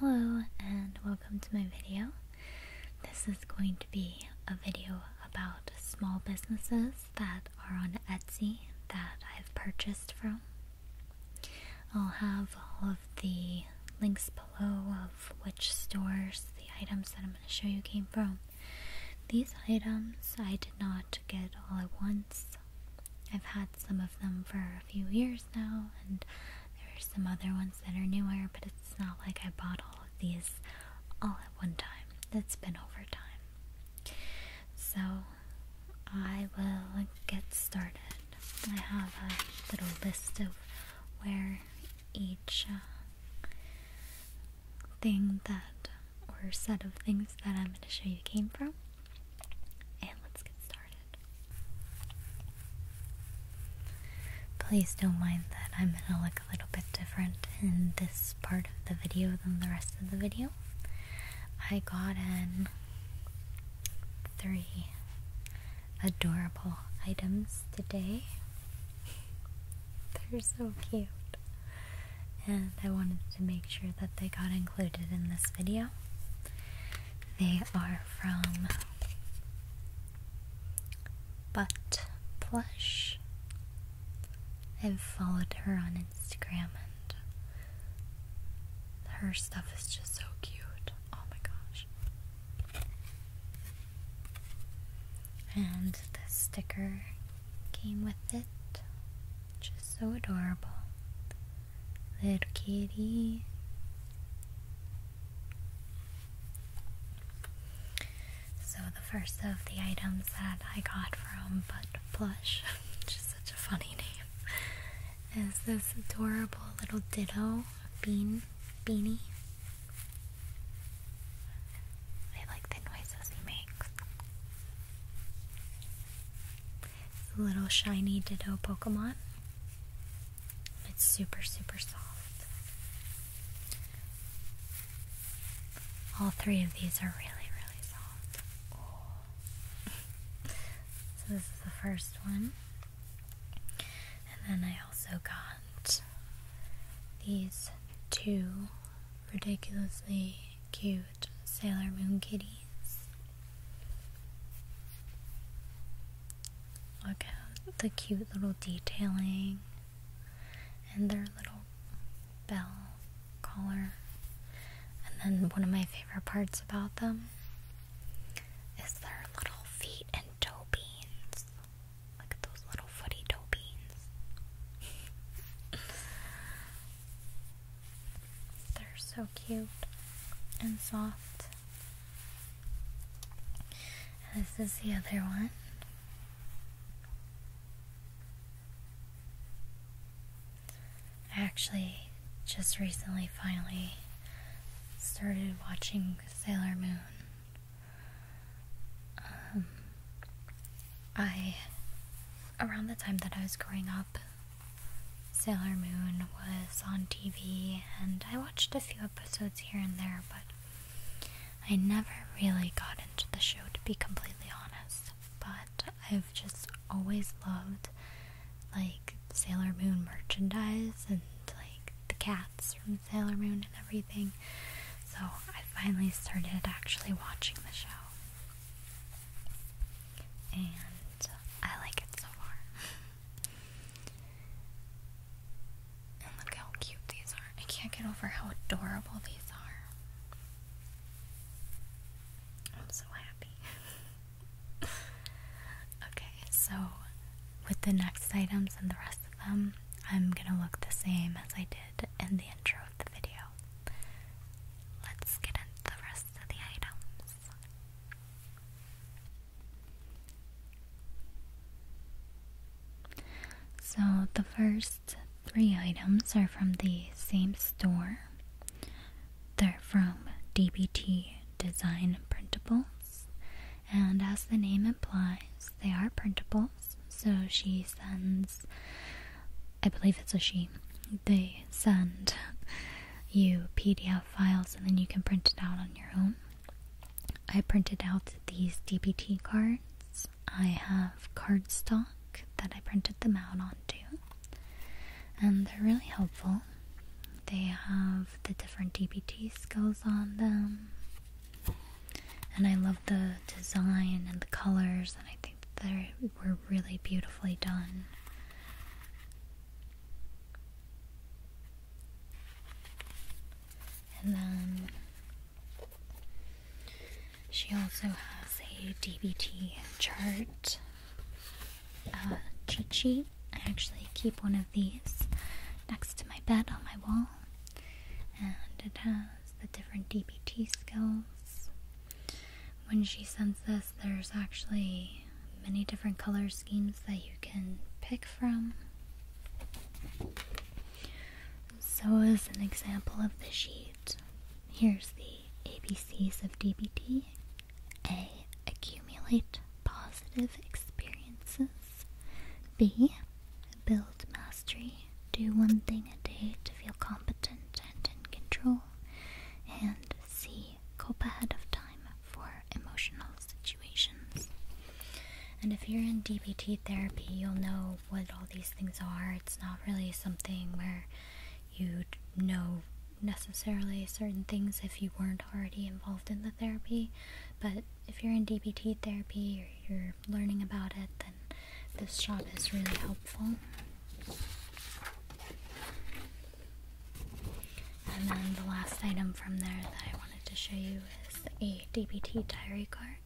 Hello and welcome to my video. This is going to be a video about small businesses that are on Etsy that I've purchased from. I'll have all of the links below of which stores the items that I'm going to show you came from. These items I did not get all at once. I've had some of them for a few years now, and there are some other ones that are newer, but it's not like I bought all of these all at one time. That's been over time. So I will get started. I have a little list of where each uh, thing that or set of things that I'm going to show you came from. And let's get started. Please don't mind that I'm gonna look a little bit different in this part of the video than the rest of the video. I got in three adorable items today. They're so cute. And I wanted to make sure that they got included in this video. They are from Butt Plush. I've followed her on Instagram and her stuff is just so cute. Oh my gosh. And the sticker came with it. Just so adorable. Little kitty. So, the first of the items that I got from Bud Plush, which is such a funny name, is this adorable little ditto bean beanie. I like the noises he makes. It's a little shiny Ditto Pokemon. It's super, super soft. All three of these are really, really soft. so this is the first one. And then I also got these two ridiculously cute Sailor Moon kitties. Look at the cute little detailing and their little bell collar. And then one of my favorite parts about them is their little feet and toe beans. Look at those little footy toe beans. They're so cute and soft. This is the other one. I actually just recently finally started watching Sailor Moon. Um, I, around the time that I was growing up, Sailor Moon was on TV, and I watched a few episodes here and there, but I never really got into the show to be completely honest. But I've just always loved like Sailor Moon merchandise and like the cats from Sailor Moon and everything. So I finally started actually watching the show. And I like it so far. look how cute these are. I can't get over how adorable these are. I'm so happy. okay, so with the next items and the rest of them, I'm gonna look the same as I did in the intro of the video. Let's get into the rest of the items. So the first three items are from the same store. They're from DBT Design Printables, and as the name implies, they are printables. So she sends, I believe it's a she, they send you PDF files and then you can print it out on your own. I printed out these DBT cards. I have cardstock that I printed them out onto, and they're really helpful. They have the different DBT skills on them, and I love the design and the colors, and I think they were really beautifully done. And then she also has a DBT chart uh, I actually keep one of these next to my bed on my wall, and it has the different DBT skills when she sends this, there's actually many different color schemes that you can pick from. So, as an example of the sheet, here's the ABCs of DBT A. Accumulate positive experiences. B. Build mastery. Do one thing a day to feel competent and in control. And C. Cope ahead of time for emotional situations. And if you're in DBT therapy, you'll know what all these things are. It's not really something where you would know necessarily certain things if you weren't already involved in the therapy. But if you're in DBT therapy or you're learning about it, then this job is really helpful. And then the last item from there that I wanted to show you is a DBT diary card.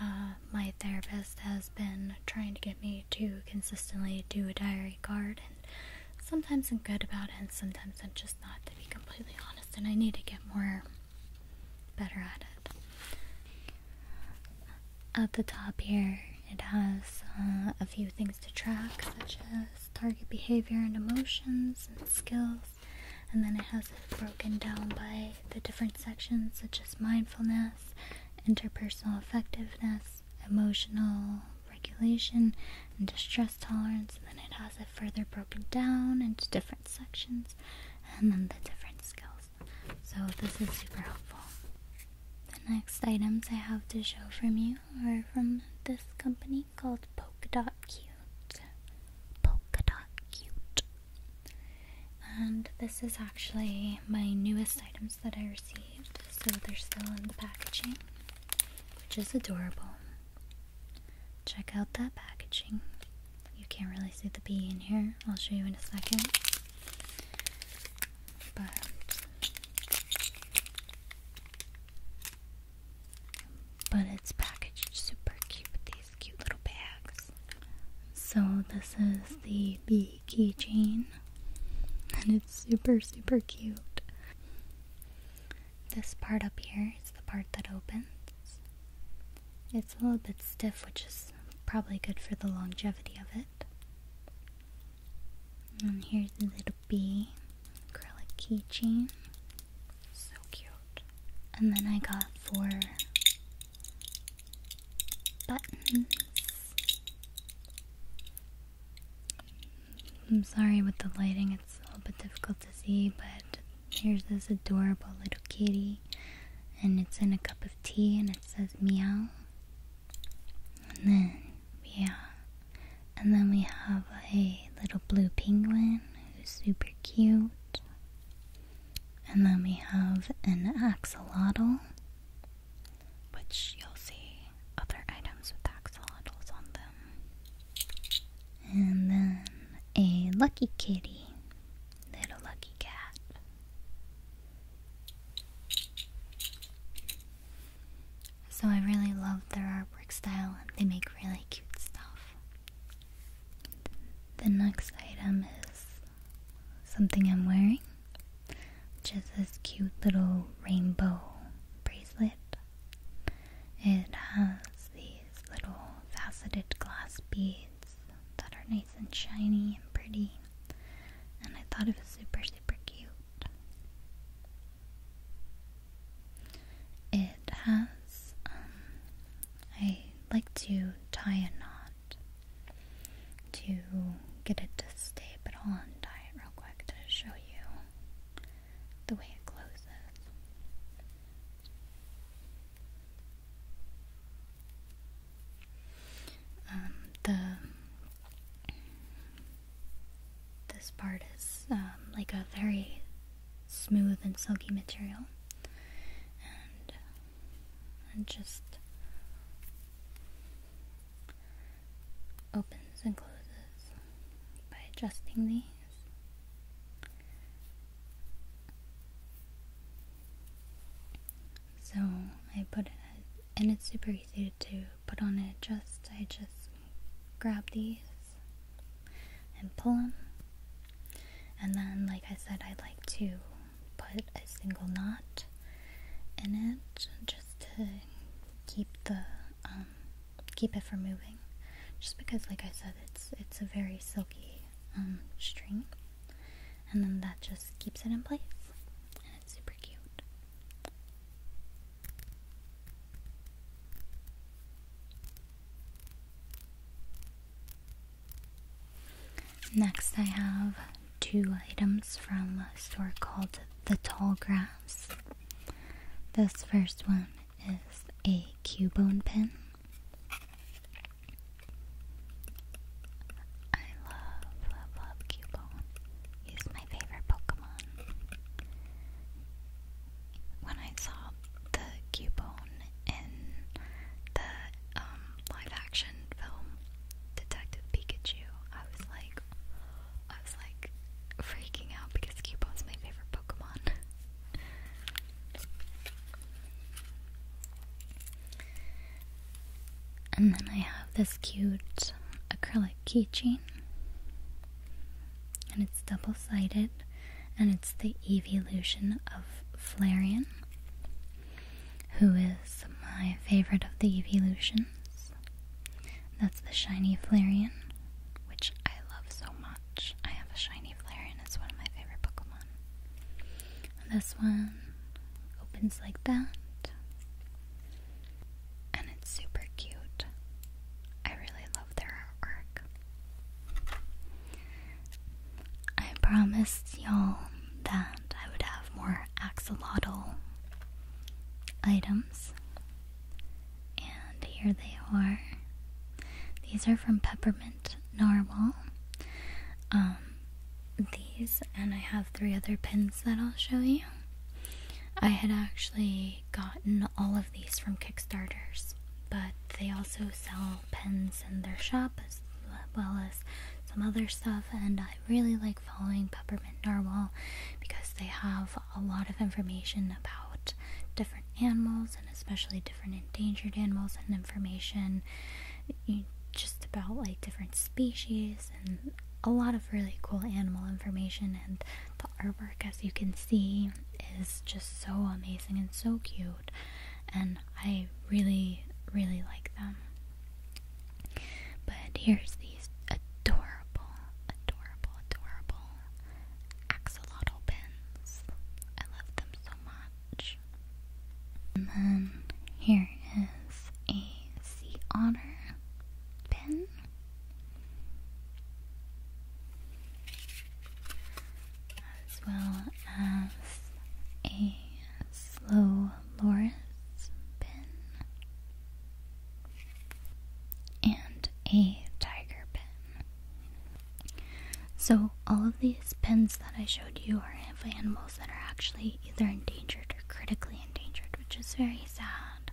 Uh, my therapist has been trying to get me to consistently do a diary card, and sometimes I'm good about it, and sometimes I'm just not, to be completely honest, and I need to get more better at it. At the top here, it has uh, a few things to track, such as target behavior and emotions and skills. And then it has it broken down by the different sections, such as mindfulness, interpersonal effectiveness, emotional regulation, and distress tolerance. And then it has it further broken down into different sections and then the different skills. So, this is super helpful. The next items I have to show from you are from this company called Polkadot Cute. Polkadot Cute. And this is actually my newest items that I received, so they're still in the packaging, which is adorable. Check out that packaging. You can't really see the bee in here, I'll show you in a second. But but it's packaged super cute with these cute little bags. So this is the bee keychain. And it's super, super cute. This part up here is the part that opens. It's a little bit stiff, which is probably good for the longevity of it. And here's the little the bee acrylic keychain. So cute. And then I got four buttons. I'm sorry with the lighting, it's a little bit difficult to see, but here's this adorable little kitty, and it's in a cup of tea, and it says meow. then we and then we have a little blue penguin who's super cute. And then we have an axolotl, which you'll see other items with axolotls on them. And then a lucky kitty, little lucky cat. So I really love their artwork style and they make really cute stuff. The next item is something I'm wearing, which is this cute little rainbow bracelet. It has these little faceted glass beads that are nice and shiny and pretty, and I thought it was super, super cute. It has, um, I like to tie a knot to get it to stay, but I'll untie it real quick to show you the way it closes. Um, the this part is um, like a very smooth and silky material, and, and just opens and closes by adjusting these. So I put it, and it's super easy to do put on it just I just grab these and pull them and then like I said I like to put a single knot in it just to keep the um, keep it from moving just because like I said it's it's a very silky um, string and then that just keeps it in place and it's super cute Next, I have two items from a store called The Tall Grass. This first one is a Cubone pin. I love, love, love Cubone my favorite Pokemon. When I saw the Cubone in the um, live action film Detective Pikachu, I was like, I was like freaking out because Cubone's my favorite Pokemon. and then I have this cute acrylic like keychain. And it's double sided, and it's the evolution of Flareon, who is my favorite of the evolutions. That's the shiny Flareon, which I love so much. I have a shiny Flareon, it's one of my favorite Pokemon. And this one opens like that and it's super cute. I really love their artwork. I promised y'all that I would have more axolotl items, and here they are. These are from Peppermint Narwhal. Um, these, and I have three other pins that I'll show you. I had actually gotten all of these from Kickstarters, but they also sell pens in their shop as well as some other stuff. And I really like following Peppermint Narwhal because they have a lot of information about different animals and especially different endangered animals and information just about like different species and a lot of really cool animal information, and the artwork, as you can see, is just so amazing and so cute. And I really, really like them. But here's these adorable, adorable, adorable axolotl pins. I love them so much. And then here is a sea otter pin as well as a slow loris pin and a tiger pin. So all of these pens that I showed you are of animals that are actually either endangered or critically endangered, which is very sad.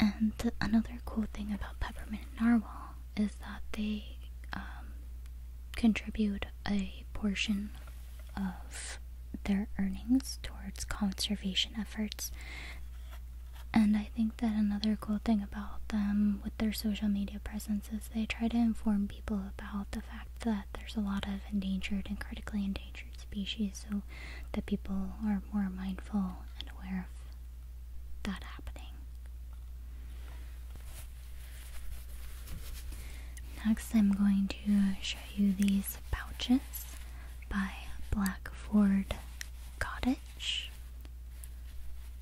And another cool thing about peppermint narwhal is that they um, contribute a portion of their earnings towards conservation efforts. And I think that another cool thing about them with their social media presence is they try to inform people about the fact that there's a lot of endangered and critically endangered species so that people are more mindful and aware of that happening. Next, I'm going to show you these pouches by Blackford Cottage.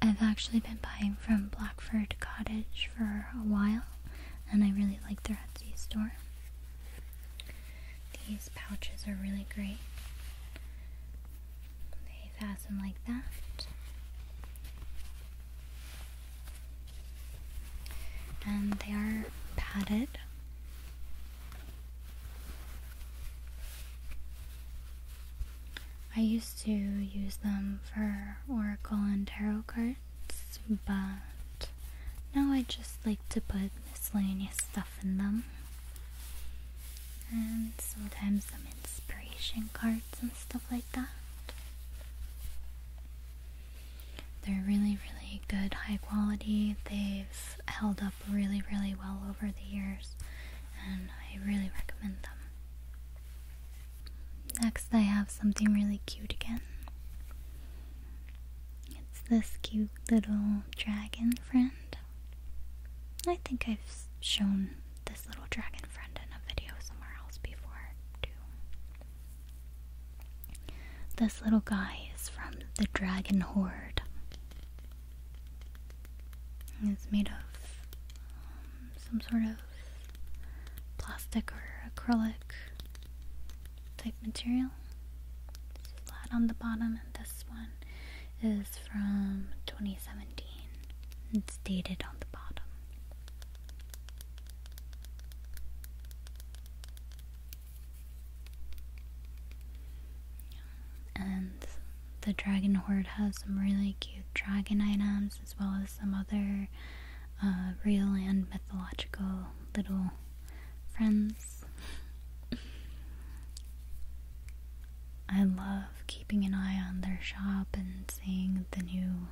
I've actually been buying from Blackford Cottage for a while, and I really like their Etsy store. These pouches are really great. They fasten like that. And they are padded. I used to use them for oracle and tarot cards, but now I just like to put miscellaneous stuff in them. And sometimes some inspiration cards and stuff like that. They're really, really good, high quality. They've held up really, really well over the years, and I really recommend them. Next, I have something really cute again. It's this cute little dragon friend. I think I've shown this little dragon friend in a video somewhere else before, too. This little guy is from the Dragon Horde. It's made of um, some sort of plastic or acrylic type material. It's flat on the bottom, and this one is from 2017. It's dated on the bottom. And the Dragon Horde has some really cute dragon items as well as some other uh, real and mythological little friends. I love keeping an eye on their shop and seeing the new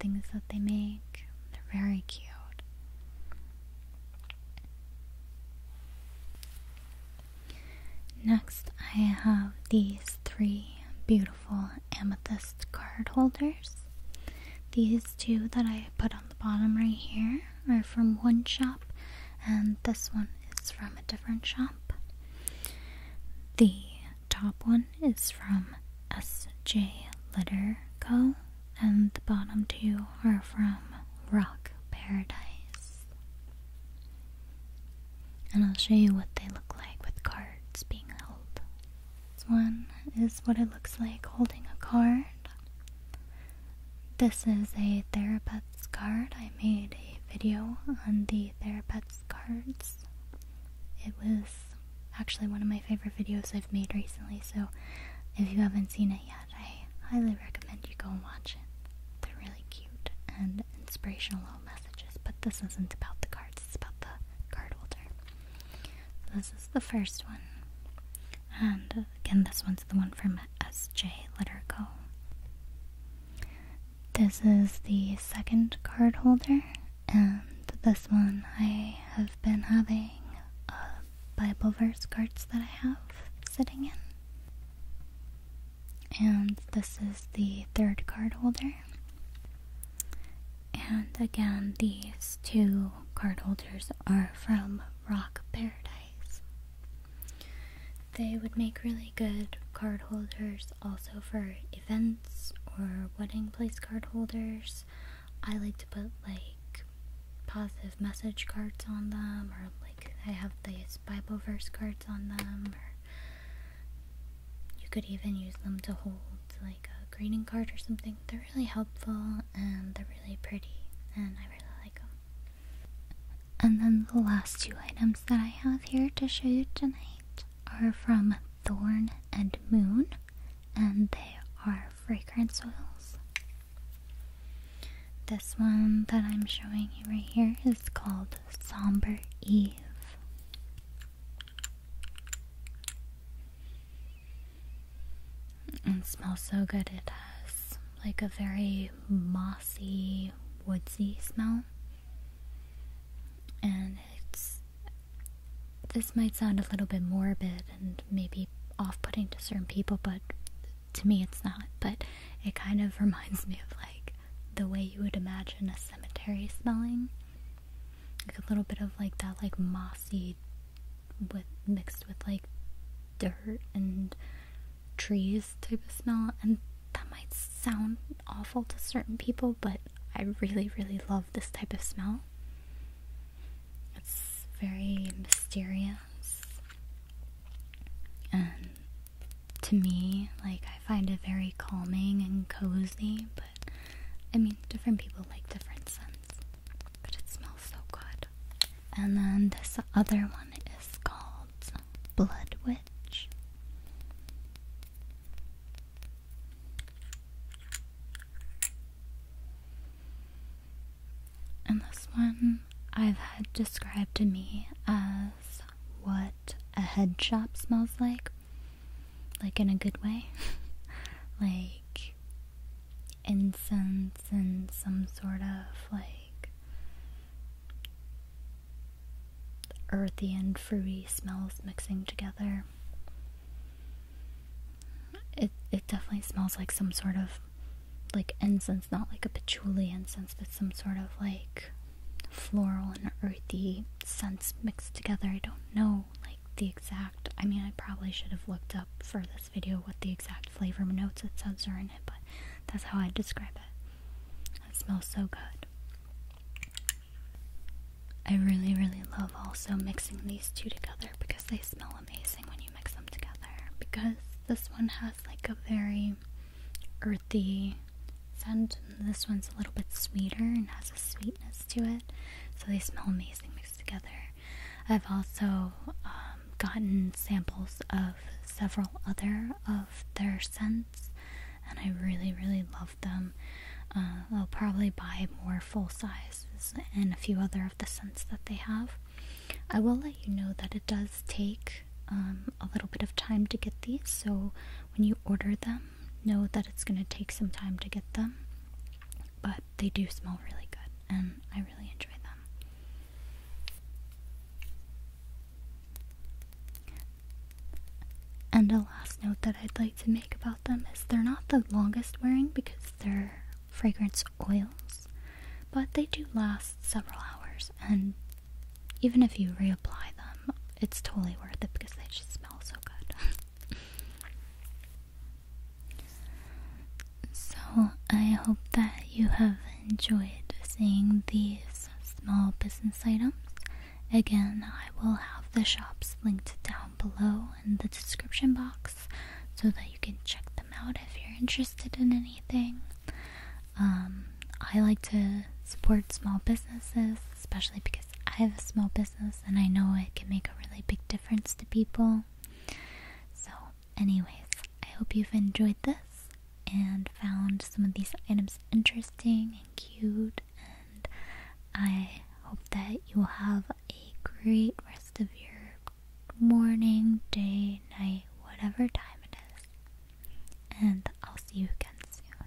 things that they make. They're very cute. Next, I have these three beautiful amethyst card holders. These two that I put on the bottom right here are from one shop and this one is from a different shop. The top one is from SJ Litter Co. and the bottom two are from Rock Paradise. And I'll show you what they look like with cards being held. This one is what it looks like holding a card. This is a Therapet's card. I made a video on the Therapet's cards. It was actually one of my favorite videos I've made recently, so if you haven't seen it yet, I highly recommend you go and watch it. They're really cute and inspirational little messages, but this isn't about the cards, it's about the card holder. This is the first one. And uh, again, this one's the one from SJ, Let Her Go. This is the second card holder, and this one I have been having uh, Bible verse cards that I have sitting in. And this is the third card holder. And again, these two card holders are from Rock Paradise. They would make really good card holders also for events or wedding place card holders. I like to put like positive message cards on them or like I have these Bible verse cards on them you could even use them to hold like a greeting card or something really helpful and they're really pretty and I really like them. And then the last two items that I have here to show you tonight are from Thorn and Moon and they are fragrance oils. This one that I'm showing you right here is called Somber Eve. And smells so good. It has like a very mossy, woodsy smell. And it's. This might sound a little bit morbid and maybe off putting to certain people, but to me it's not. But it kind of reminds me of like the way you would imagine a cemetery smelling. Like a little bit of like that, like mossy, with mixed with like dirt and trees type of smell and that might sound awful to certain people but I really really love this type of smell. It's very mysterious and to me like I find it very calming and cozy but I mean different people like different scents. But it smells so good. And then this other one is called Blood Witch. And this one I've had described to me as what a head shop smells like, like in a good way. like incense and some sort of like earthy and fruity smells mixing together. It it definitely smells like some sort of like incense, not like a patchouli incense, but some sort of like floral and earthy scents mixed together. I don't know, like the exact, I mean I probably should have looked up for this video what the exact flavor notes it says are in it, but that's how I describe it. It smells so good. I really, really love also mixing these two together because they smell amazing when you mix them together. Because this one has like a very earthy scent, and this one's a little bit sweeter and has a sweetness to it. So they smell amazing mixed together. I've also um, gotten samples of several other of their scents, and I really, really love them. Uh, I'll probably buy more full sizes and a few other of the scents that they have. I will let you know that it does take um, a little bit of time to get these, so when you order them, know that it's going to take some time to get them. But they do smell really good, and I really enjoy them. And the last note that I'd like to make about them is they're not the longest wearing because they're fragrance oils, but they do last several hours, and even if you reapply them, it's totally worth it because they just smell so good. So, I hope that you have enjoyed seeing these small business items. Again, I will have the shops linked down below in the description box so that you can check them out if you're interested in anything. Um, I like to support small businesses, especially because I have a small business and I know it can make a really big difference to people. So, anyways, I hope you've enjoyed this and found some of these items interesting and cute, and I hope that you will have a great rest of your morning, day, night, whatever time it is. And I'll see you again soon.